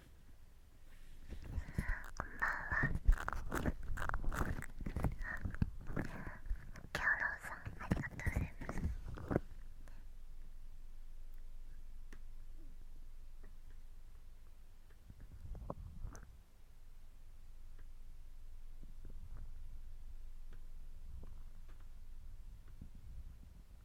こんばんはキャロさんありがとうございます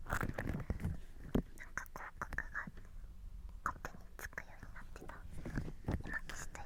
なんか広告が勝手につくようになってた今消しといた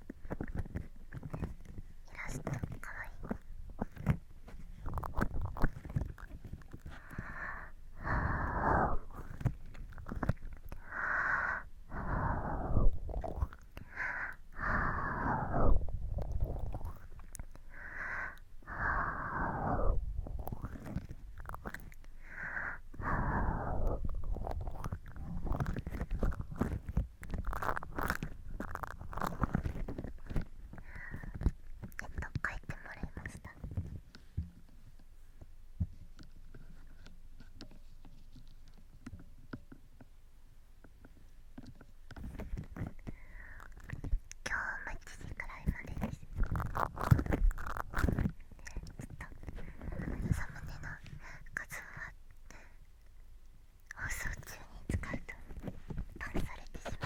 イラストかわいい。帰ってもらいました今日も1時くらいまでですちょっとサムネの数は放送中に使うとバンされてしまうので。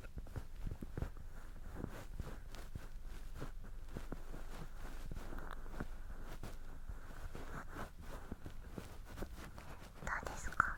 うですか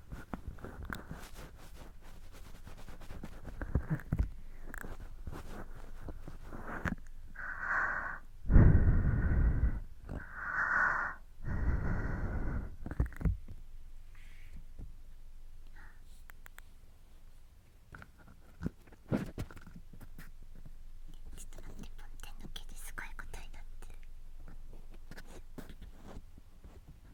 ちょっと待って、ポンテンの毛ですごいことになってる。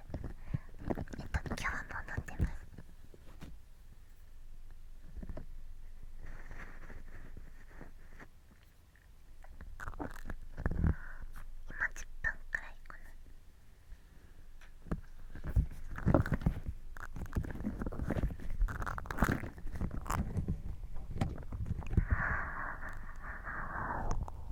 えっと今日も飲んでます今10分くらいかなああ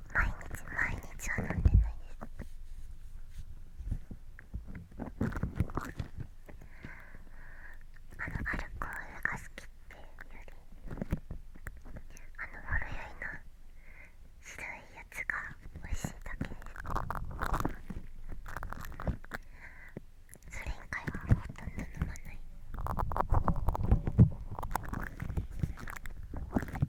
毎日毎日は飲んでないですあのアルコールが好きっていうよりあのまろやいな白いやつが美味しいだけですそれ以外はほとんど飲まない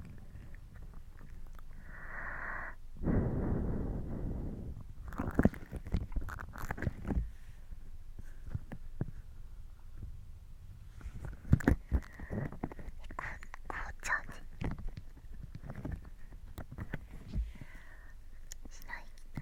茶にしないきたい。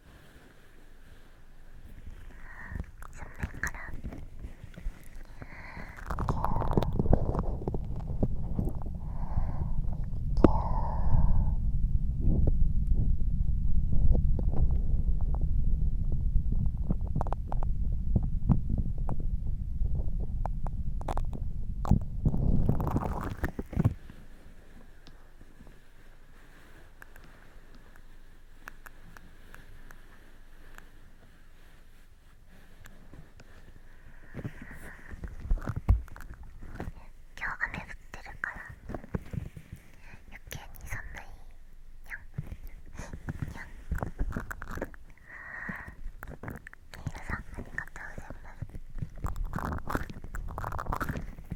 正面から耳今日雨降ってるから余計に寒いにさんありがとうございます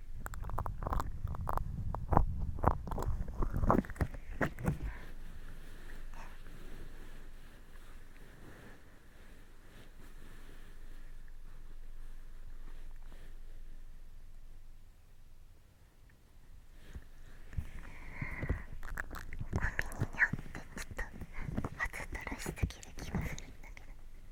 にってちょっと初とらしすぎる気がするんだけど。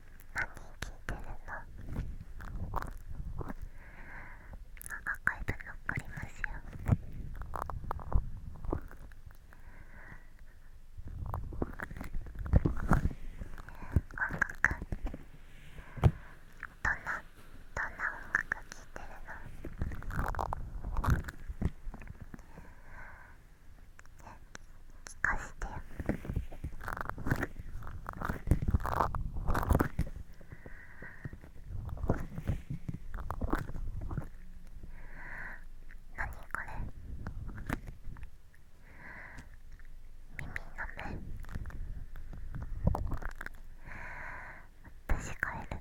何聞いてるのあ赤い残りますよ音楽どんなどんな音楽聴いてるの聞かせて何これ耳の目私帰るのに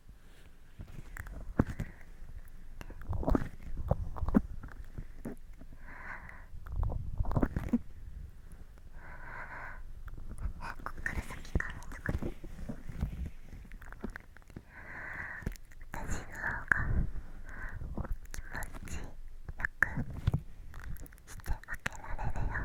こっから先から特に私の方が気持ちよくしてあげられるよ。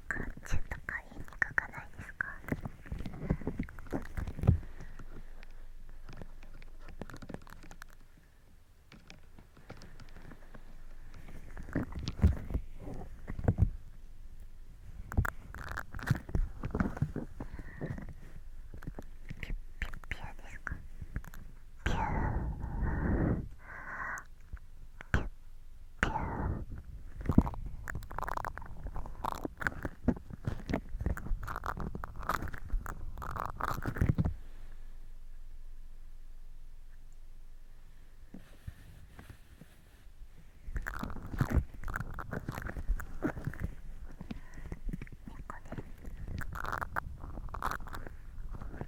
とかチュとか言にくかないですかピュピュピュですかピュー猫ね。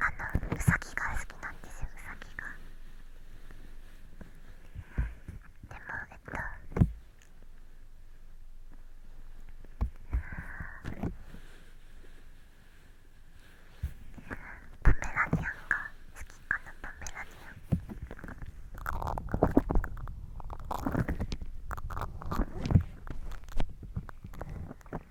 あのウサギが好きなんですよウサギがでもえっとパメラニアンが好きかなパメラニアン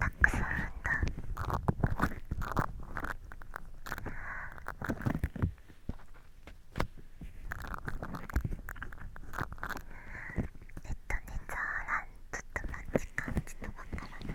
たくさんえっとねザーらん、ちょっと待ち感じとわからない。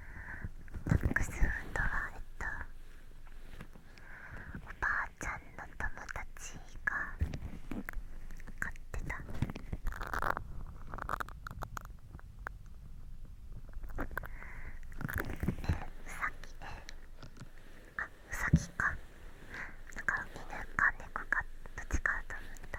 ックスフンドはえっとおばあちゃんの友達が飼ってたねえうさぎね。あうさぎかだから犬か猫かどっちかと思った。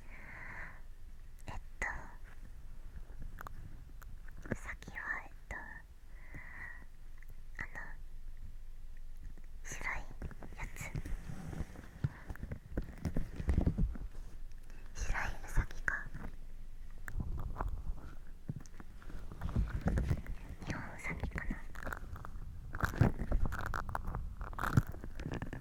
えっとうさぎはえっとあの白いやつ白いウサギか日本ウサギかな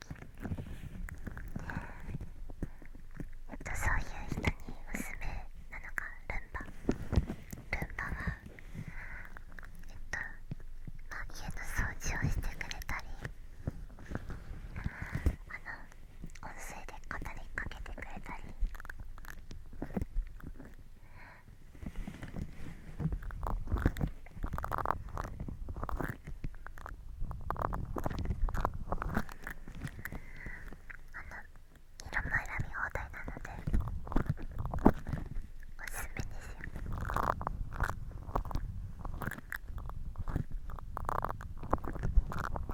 えっとそういう人に娘なのか、ルンバルンバはえっとまあ家の掃除をしてくれたりあの音声で語りかけてくれたりあの、色も選び放題なのでおすすめですよ茶色のルンバ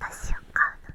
私を買うの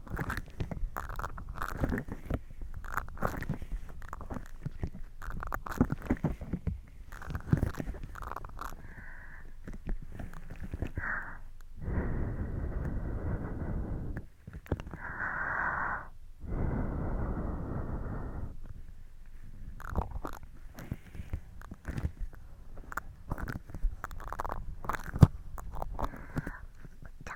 ちゃ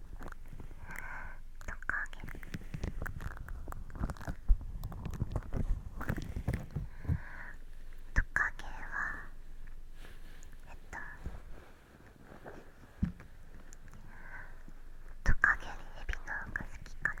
トカゲ。トカゲはえっとトカゲにエビの方が好きかな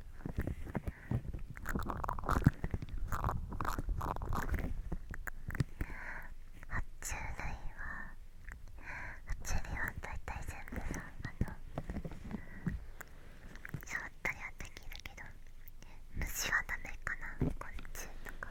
虫類は発虫類はだいたい全部さあの触ったりはできるけど虫はダメかな昆虫とか。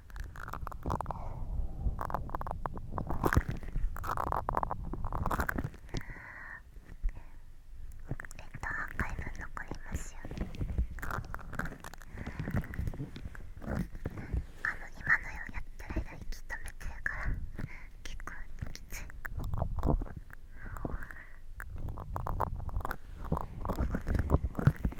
回分残りますよねあの今のやってる間息止めてるから結構きつい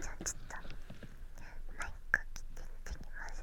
じゃあちょっとマイク切っていってみます。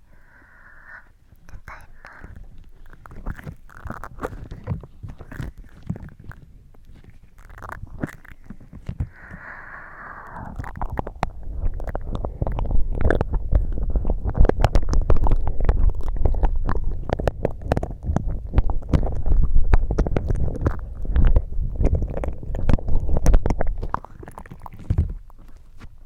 ただい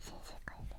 新世界で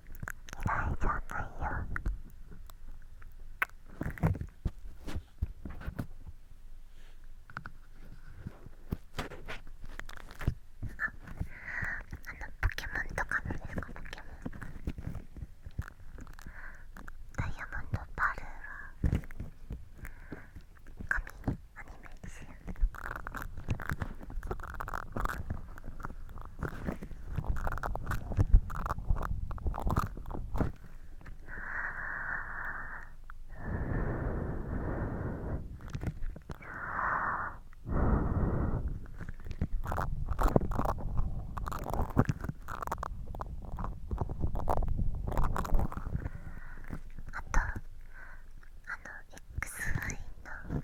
嫌いじゃないよ。ああのポケモンとかのですかポケモンダイヤモンドバルールは紙にアニメーですよあとあの x I のや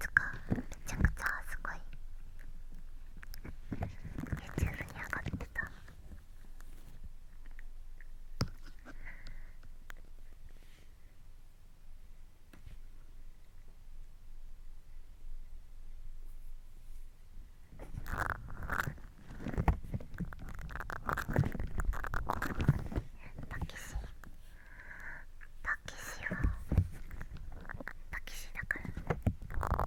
つか。めちゃくちゃすごい y o u に上がってたタキシキシはパキシだから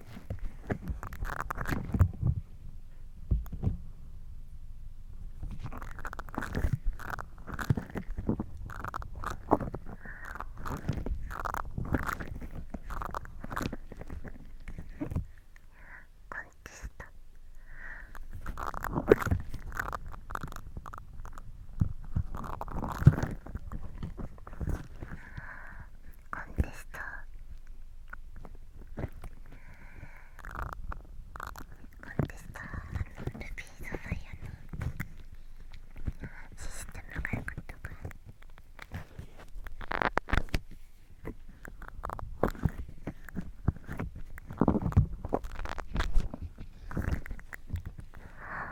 パンチした。コンテストコンテストのルビー素材やのシステムが良くったからあ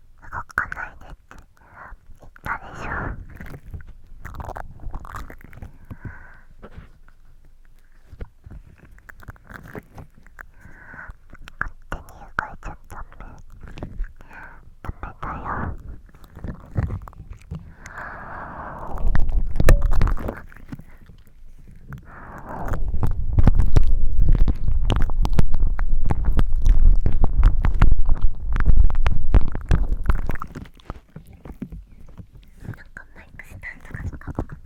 動かないでって言ったでしょ勝手に動いちゃダメダメだよなんかマイクスタンドがとかがかけちゃ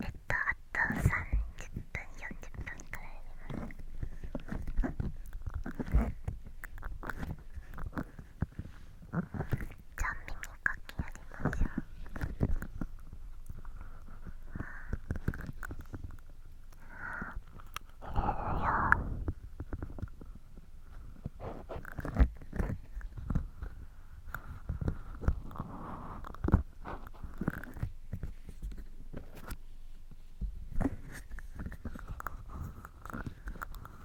えっとあと30分40分くらいでます。じゃあ耳かきやりましょう…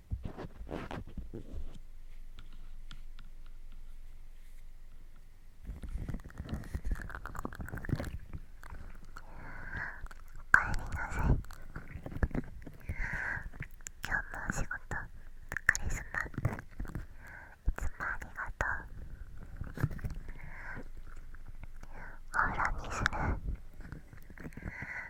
お帰りなさい今日もお仕事カリスマいつもありがとうお風呂にする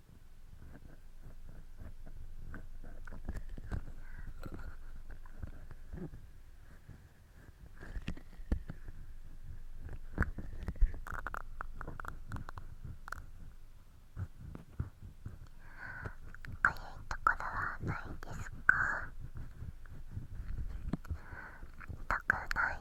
いところはないですか痛くない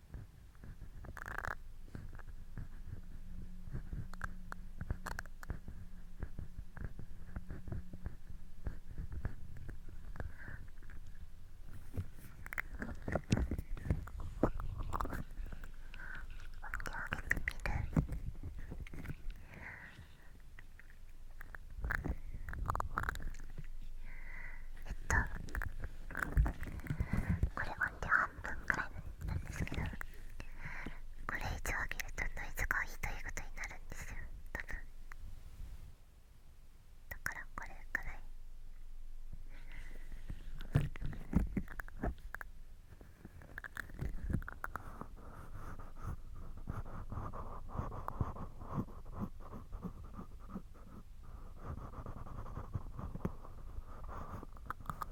えっとこれ音量半分くらいのなんですけどこれ一応あげるとノイズがひどいことになるんですよ多分だからこれくらい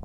難しい。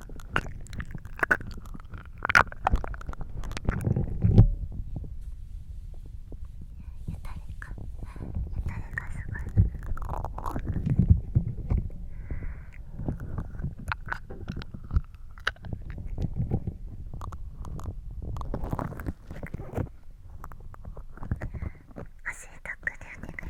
かゆたりがすごい。おしいとくでお願い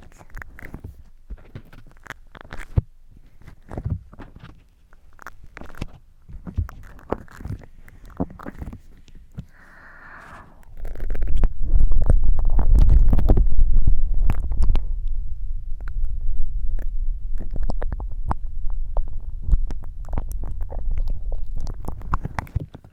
やつ。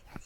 なしなし。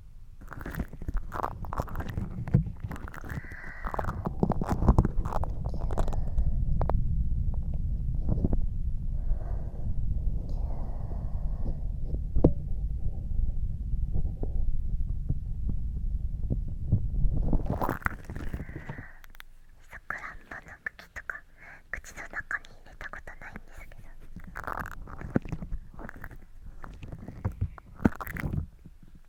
さくらんぼの茎とか口の中に入れたことないんですけど。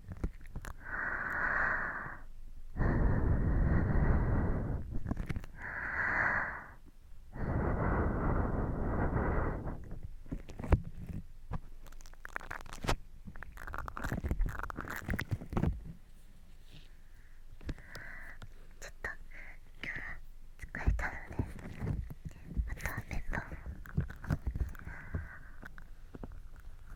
ちょっと疲れたのでまたメめバーを。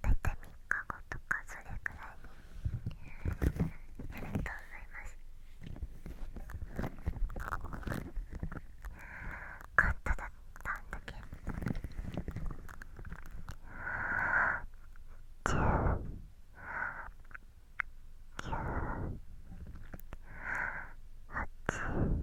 大体3日後とかそれくらいにありがとうございますカットだったんだけど9 8 7 6 5 4 3 2 1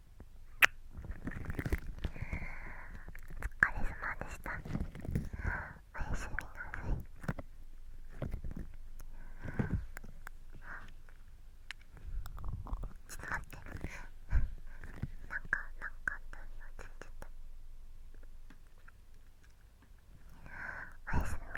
お疲れ様でしたおやすみなさいちょっと待ってなんかなんかあったの忘れちゃったおやすみ